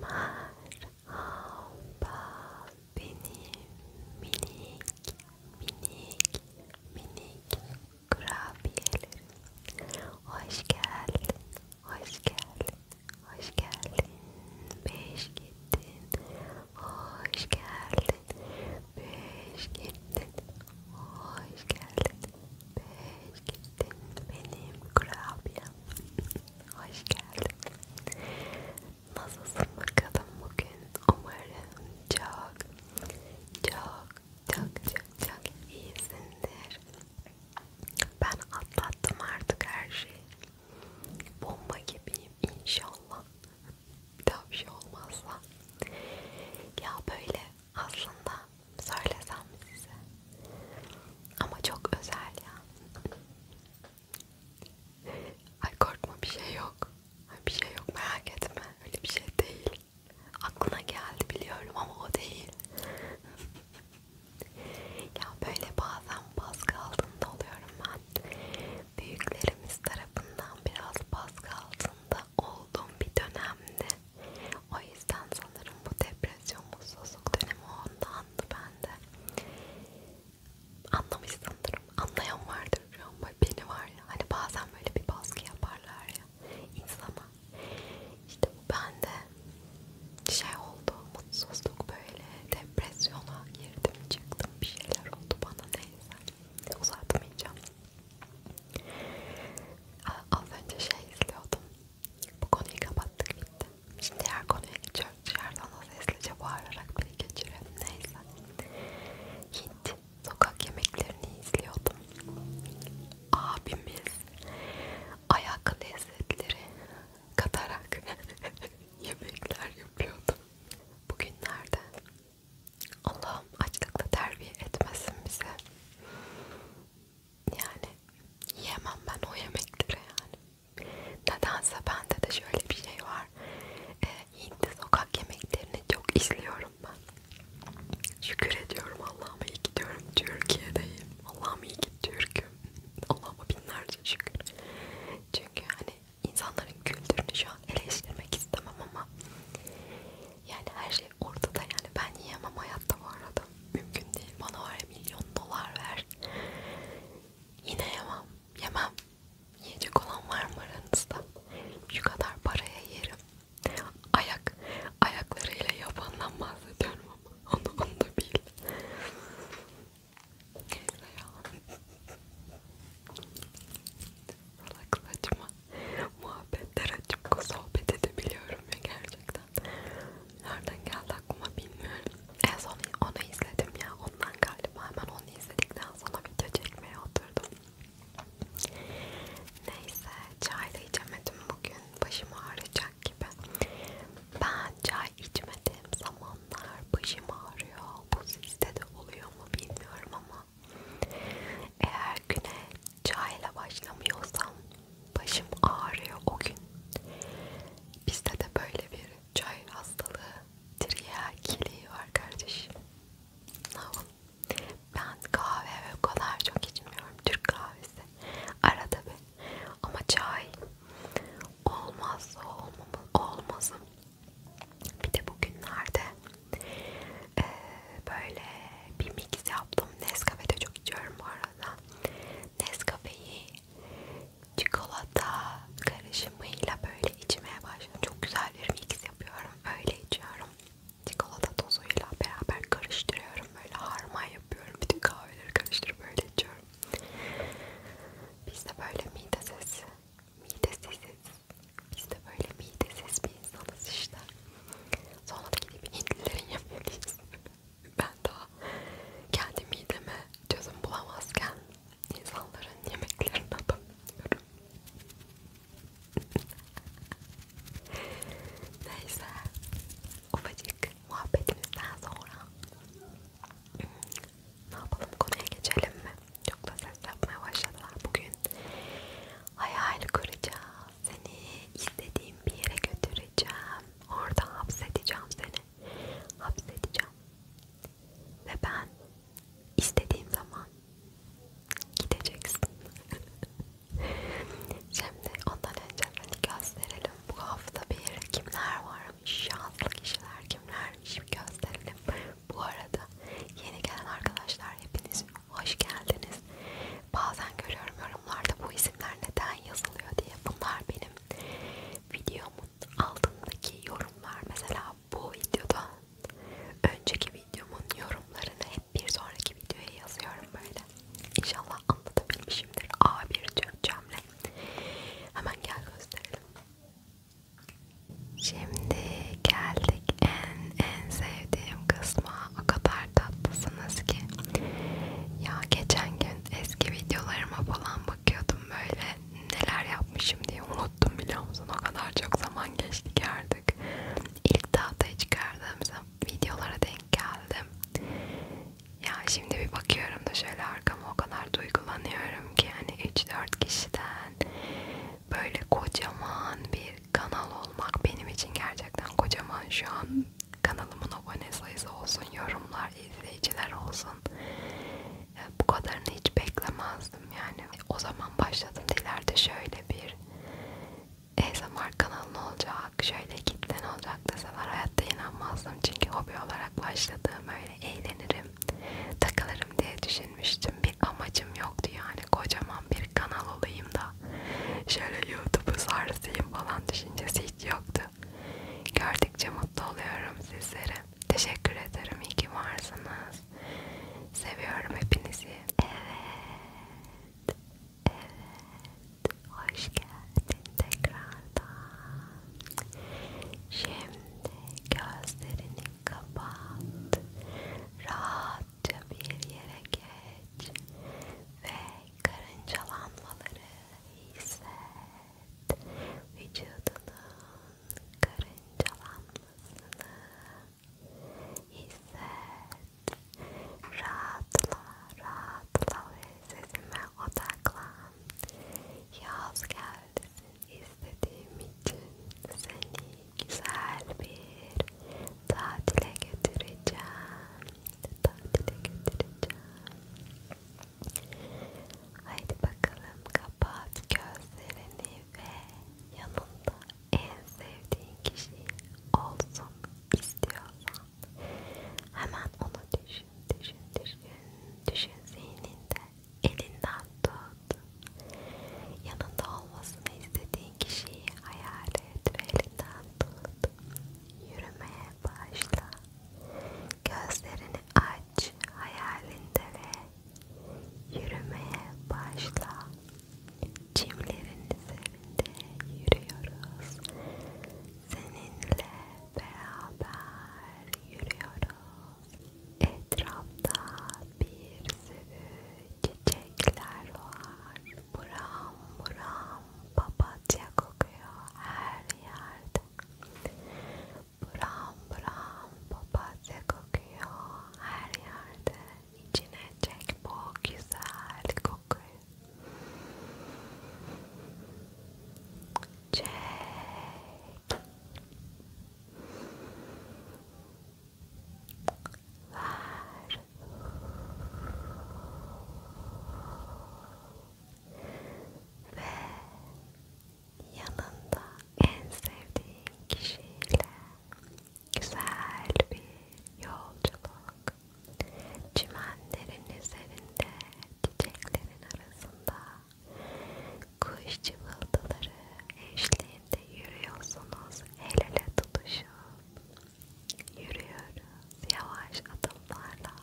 Merhaba benim minik minik minik kurabiyelerim. Hoş geldin, hoş geldin, hoş geldin. Beş gittin, hoş geldin. Beş gittin, hoş geldin. Beş gittin benim kurabiyem. Hoş geldin. Nasılsın bakalım bugün? Umarım çok, çok, çok, çok, çok iyisindir. Ben atlattım artık her şeyi. Bomba gibiyim inşallah. bir daha bir şey olmazsa ya böyle aslında söylesem size ama çok özel ya ay korkma bir şey yok bir şey yok merak etme öyle bir şey değil aklına geldi biliyorum ama o değil ya böyle bazen baskı altında oluyorum ben büyüklerimiz tarafından biraz baskı altında hasta olduğum bir dönemdi. O yüzden sanırım bu depresyon, mutsuzluk dönemi ondandı bende. Anlamışsındır, anlayan vardır şu an beni var ya. Hani bazen böyle bir baskı yaparlar ya insana. İşte bu bende şey oldu, mutsuzluk böyle depresyona girdim çıktım bir şeyler oldu bana neyse uzatmayacağım. Az önce şey izliyordum. Bu konuyu kapattık bitti. Şimdi diğer konuya geçiyorum. Dışarıdan nasıl hızlıca bağırarak biri geçirelim. Neyse. Hint sokak yemeklerini izliyordum. Abimiz ayak lezzetleri katarak yemekler yapıyordu. Bugünlerde Allah'ım açlıkla terbiye etmesin bize. Yani yiyemem ben o yemekleri yani. Nedense bende de şöyle bir şey var. Ee, Hintli sokak yemeklerini çok izliyorum ben. Şükür ediyorum Allah'ım iyi gidiyorum Türkiye'deyim. Allah'ım iyi ki Türk'üm. Allah'ıma binlerce şükür. Çünkü hani insanların kültürünü şu an eleştirmek istemem ama yani her şey ortada yani ben yiyemem hayatta bu arada mümkün değil bana var milyon dolar ver yine yemem yemem yiyecek olan var mı aranızda şu kadar paraya yerim ayak ayaklarıyla yabandan bahsediyorum ama onu, onu da bil neyse ya salak saçma muhabbetler açıp sohbet edebiliyorum ya gerçekten. Nereden geldi aklıma bilmiyorum. En son onu izledim ya ondan galiba hemen onu izledikten sonra video çekmeye oturdum. Neyse çay da içemedim bugün başım ağrıyacak gibi. Ben çay içmediğim zaman zamanlar başım ağrıyor. Bu sizde de oluyor mu bilmiyorum ama eğer güne çayla başlamıyorsam başım ağrıyor o gün. Bizde de böyle bir çay hastalığı triyakiliği var kardeşim. Ne yapalım? Ben kahve o kadar çok içmiyorum. Türk kahvesi. Arada bir. Ama çay olmazsa olmamız, olmazım. Bir de bugünlerde e, böyle bir mix yaptım. Nescafe de çok içiyorum bu arada. Nescafe'yi çikolata karışımıyla böyle içmeye başladım. Çok güzel bir mix yapıyorum. Öyle içiyorum. Çikolata tozuyla beraber karıştırıyorum. Böyle harman yapıyorum. Bütün kahveleri karıştırıp böyle içiyorum. Biz de böyle mide sesi midesiziz. Biz de böyle midesiz bir insanız işte. Sonra da gidip Hintlilerin yemeğiyiz. ben daha kendi mideme çözüm bulamazken insanların yemeklerine bakıyorum. Neyse, ufacık muhabbetimizden sonra ne yapalım konuya geçelim mi? Çok da ses yapmaya başladılar bugün. Hayal kuracağım. Seni istediğim bir yere götüreceğim. Orada hapsedeceğim seni. Hapsedeceğim. Ve ben istediğim zaman gideceksin. Şimdi ondan önce seni gösterelim. Bu hafta bir kimler var kimlermiş, şanslı kişiler kimlermiş gösterelim. Bu arada yeni gelen arkadaşlar hepiniz hoş geldiniz. Bazen görüyorum yorumlarda bu isimler neden yazılıyor diye. Bunlar benim videomun altındaki yorumlar. Mesela bu videoda önceki videomun yorumlarını hep bir sonraki videoya yazıyorum böyle. İnşallah anlatabilmişimdir. A1 Türkçemle. Hemen gel gösterelim. Şimdi geldik en en sevdiğim kısma. O kadar tatlısınız ki. Ya geçen gün eski videolarıma falan bakıyordum böyle neler yapmışım diye unuttum biliyor musun? O kadar çok zaman geçti ki artık. İlk tahtaya çıkardığım videolara denk geldim. Ya şimdi bir bakıyorum da şöyle şarkıma o kadar duygulanıyorum ki hani 3-4 kişiden böyle kocaman bir kanal olmak benim için gerçekten kocaman şu an kanalımın abone sayısı olsun, yorumlar, izleyiciler olsun. E, bu kadarını hiç beklemezdim yani. O zaman başladım ileride şöyle bir ASMR kanalın olacak, şöyle kitlen olacak deseler hayatta inanmazdım. Çünkü hobi olarak başladım, öyle eğlenirim takılırım diye düşünmüştüm. Bir amacım yoktu yani kocaman bir kanal olayım da şöyle YouTube'u sarsayım falan düşüncesi hiç yoktu. Gördükçe mutlu oluyorum sizlere. Teşekkür ederim. İyi ki varsınız. Seviyorum hepinizi. Evet. Evet. Hoş geldin tekrardan. Şimdi gözlerini kapat. Rahatça bir yere geç ve karıncalanmaları hisset. Vücudunun karıncalanmasını hisset. Rahatla, rahatla ve Sesime odaklan. Yaz geldi. İstediğim için seni güzel bir tatile götüreceğim. Tatile götüreceğim. Haydi bakalım kapat gözlerini ve yanında en sevdiğin kişi olsun istiyorsan hemen onu düşün düşün, düşün, düşün zihninde, elinden tut. Yanında olmasını istediğin kişiyi hayal et ve elinden tut. Yürümeye başla. Gözlerini aç hayalinde ve yürümeye başla. Çimlerin üzerinde yürüyoruz. Seninle beraber yürüyoruz. Etrafta bir sürü çiçekler var. Buram buram papatya kokuyor her yerde. Buram buram papatya kokuyor her yerde. İçine çek bu güzel kokuyu. Çek. Ver. Ve yanında en sevdiğin kişiyle güzel bir yolculuk Çimenlerin üzerinde, çiçeklerin arasında kuş cıvıltıları eşliğinde yürüyorsunuz el ele tutuşup. Yürüyoruz yavaş adımlarla,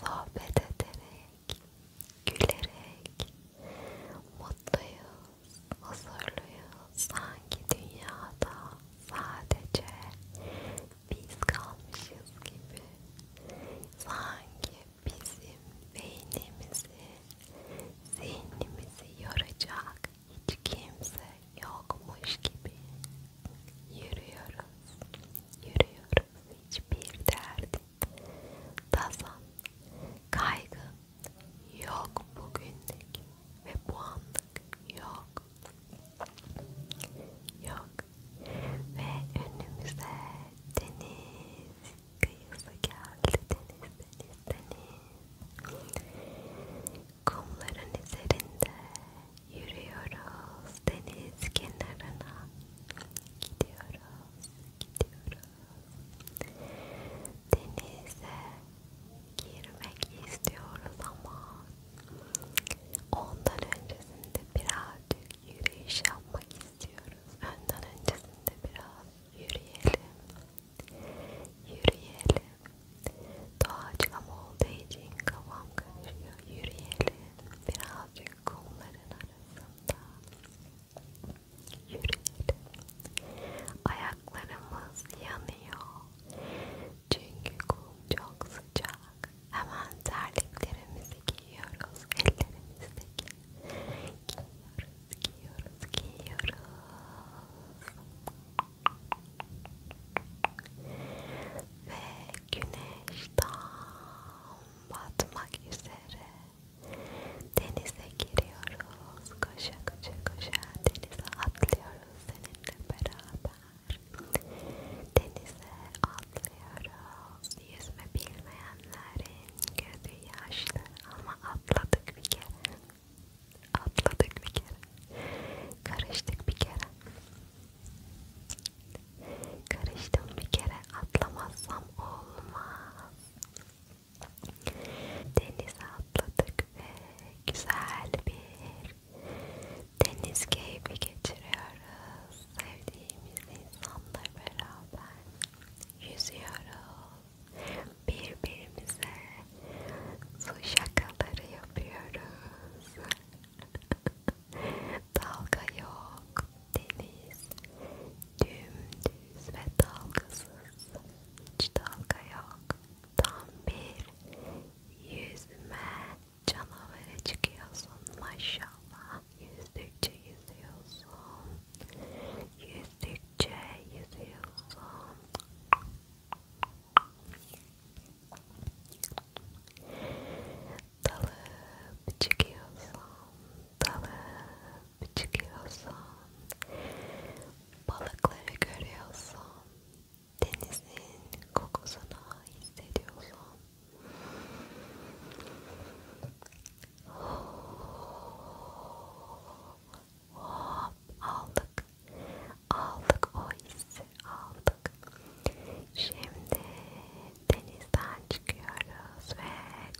sohbet ederek, gülerek, mutluyuz, huzurluyuz sanki dünyada sadece biz kalmışız gibi sanki bizim beynimizi, zihnimizi yoracak hiç kimse yokmuş gibi yürüyoruz, yürüyoruz hiçbir derdin, tazan, kaygın yok bugünlük ve bu anlık yok Yok. Ve önümüze deniz kıyısı geldi. Deniz, deniz, deniz. Kumların üzerinde yürüyoruz. Deniz kenarına gidiyoruz, gidiyoruz. Denize girmek istiyoruz ama Ondan öncesinde birazcık yürüyüş yapmak istiyoruz. Ondan öncesinde biraz yürüyelim. Yürüyelim. Doğaçlama olduğu için kafam karışıyor. Yürüyelim. Birazcık kumların arasında. Yürüyelim. Ayaklarımız yanıyor. Çünkü kum çok sıcak. Hemen terliklerimizi giyiyoruz. Ellerimizdeki giyiyoruz, giyiyoruz, giyiyoruz. Ve güneş tam batmak üzere. Denize giriyoruz. Koşa koşa koşa denize atlıyoruz seninle beraber. Denize atlıyoruz. Yüzme bilmeyenlerin gözü yaşlı ama atladık bir kere. Atladık bir kere. Karıştık bir kere. Karıştım bir kere. Atlamazsam olmaz. Denize atladık ve güzel bir Deniz keyfi geçiriyoruz. Sevdiğimiz insanla beraber yüzüyoruz. Birbirimize su şakaları yapıyoruz. Dalga yok. Deniz dümdüz ve dalgasız. Hiç dalga yok. Tam bir yüzme canavara çıkıyorsun maşallah. Yüzdükçe yüzüyorsun. Yüzdükçe yüzüyorsun. Dalıp çıkıyorsun. Dalıp çıkıyorsun. Balıkları görüyorsun denizin kokusunu hissediyorsun. Hop, aldık, aldık o hissi, aldık. Şimdi denizden çıkıyoruz ve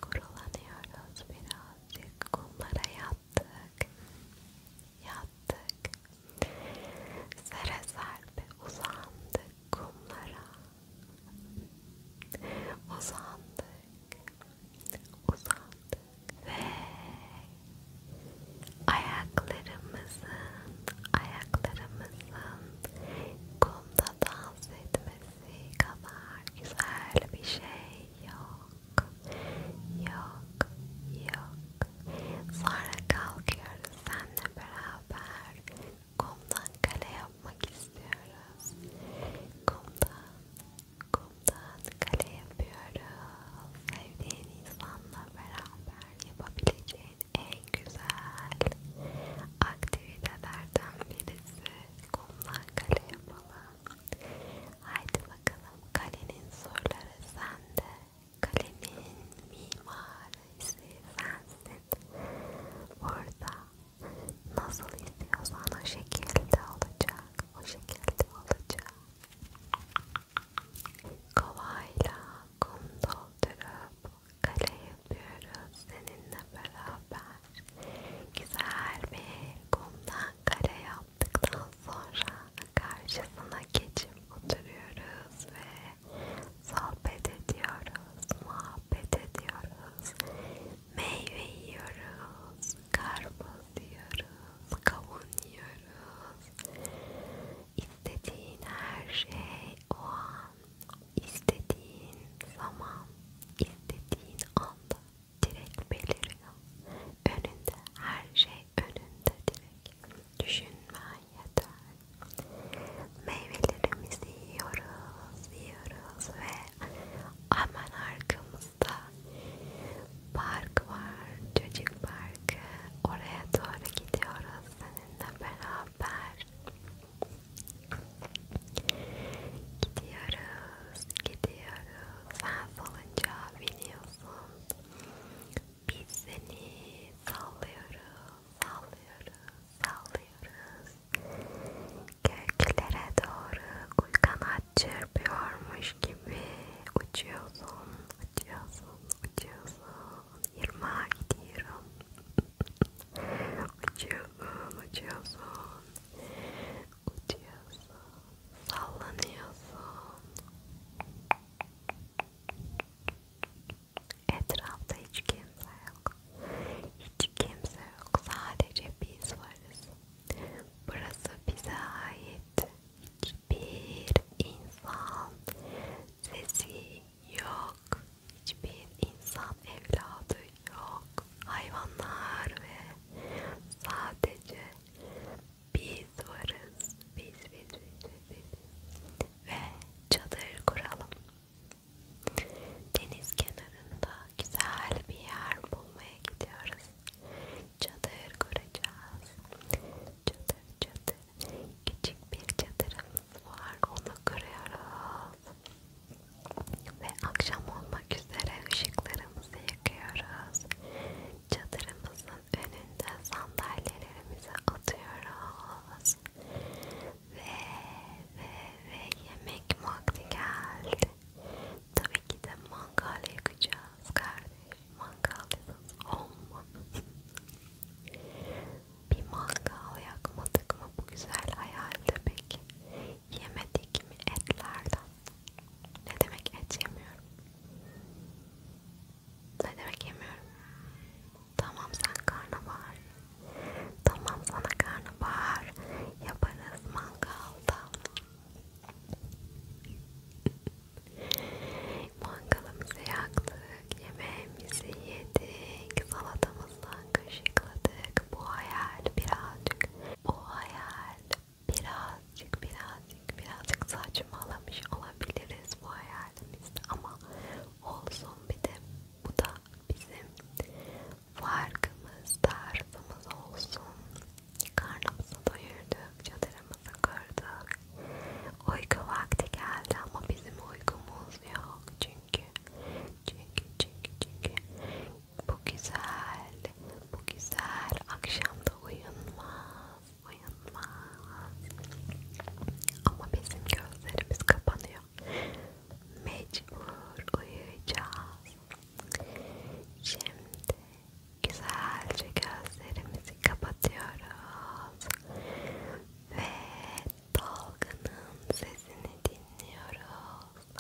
kurulanıyoruz birazcık kumlara yattık. Yat yattık. Sere serpe uzandık kumlara. Uzandık. Uzandık. Ve ayaklarımızın, ayaklarımızın kumda dans etmesi kadar güzel bir şey yok. Yok. Yok. Sonra kalkıyoruz seninle beraber. Kumdan kale yapmak istiyoruz. Kumdan, kumdan kale yapıyoruz. Sevdiğin insanla beraber yapabileceğin en güzel aktivitelerden birisi. Kumdan kale yapalım. Haydi bakalım kalenin surları sende. Kalemin mimarı ise sensin. Burada nasıl istiyorsan o şekilde olacak. O şekilde olacak. Kovayla kum doldurup kale yapıyoruz seninle beraber. Güzel bir kumdan kare yaptıktan sonra karşısına geçip oturuyoruz ve sohbet ediyoruz, muhabbet ediyoruz, meyve yiyoruz, karpuz yiyoruz, kavun yiyoruz. İstediğin her şey o an, istediğin zaman, istediğin anda direkt beliriyor önünde her şey önünde direkt düşünmen yeter meyvelerimizi yiyoruz yiyoruz ve aman arkamızda park var çocuk parkı oraya doğru gidiyoruz seninle beraber gidiyoruz gidiyoruz sen salıncağa biniyorsun biz seni sallıyoruz, sallıyoruz, sallıyoruz. Göklere doğru kuy kanat çırpıyormuş gibi uçuyorsun, uçuyorsun, uçuyorsun. Yırmağa gidiyorum. uçuyorsun, uçuyorsun. Uçuyorsun, sallanıyorsun etrafta hiç kimse yok hiç kimse yok sadece biz varız burası bize ait hiçbir insan sesi yok hiçbir insan evladı yok hayvanlar ve sadece biz varız. Biz biz biz biz. Ve çadır kuralım. Deniz kenarında güzel bir yer bulmaya gidiyoruz. Çadır kuracağız. Çadır çadır. Küçük bir çadırımız var. Onu kuruyoruz. Ve akşam olmak üzere ışıklarımızı yakıyoruz. Çadırımızın önünde sandalyelerimizi atıyoruz. Ve ve ve yemek vakti geldi. Tabii ki de mangal yakacağız kardeş. Mangalsız olmaz. Bir mangal yakmadık mı bu güzel hayalde peki? yemedik mi etlerden? Ne demek et yemiyorum? Ne demek yemiyorum? Tamam sen karnabahar. Tamam sana karnabahar yaparız mangalda. Mangalımızı yaktık, yemeğimizi yedik, salatamızdan kaşıkladık. Bu hayal birazcık, bu hayal birazcık birazcık birazcık saçmalamış olabiliriz bu hayalimizde ama olsun bir de bu da bizim farkımız, tarifimiz olsun. Karnımızı doyurduk, çadırımızı kurduk. Uyku vakti geldi ama bizim uykumuz yok çünkü çünkü çünkü çünkü bu güzel, bu güzel. Akşamda uyunmaz, uyunmaz. Ama bizim gözlerimiz kapanıyor. Mecbur uyuyacağız. Şimdi güzelce gözlerimizi kapatıyoruz. Ve dalganın sesini dinliyoruz.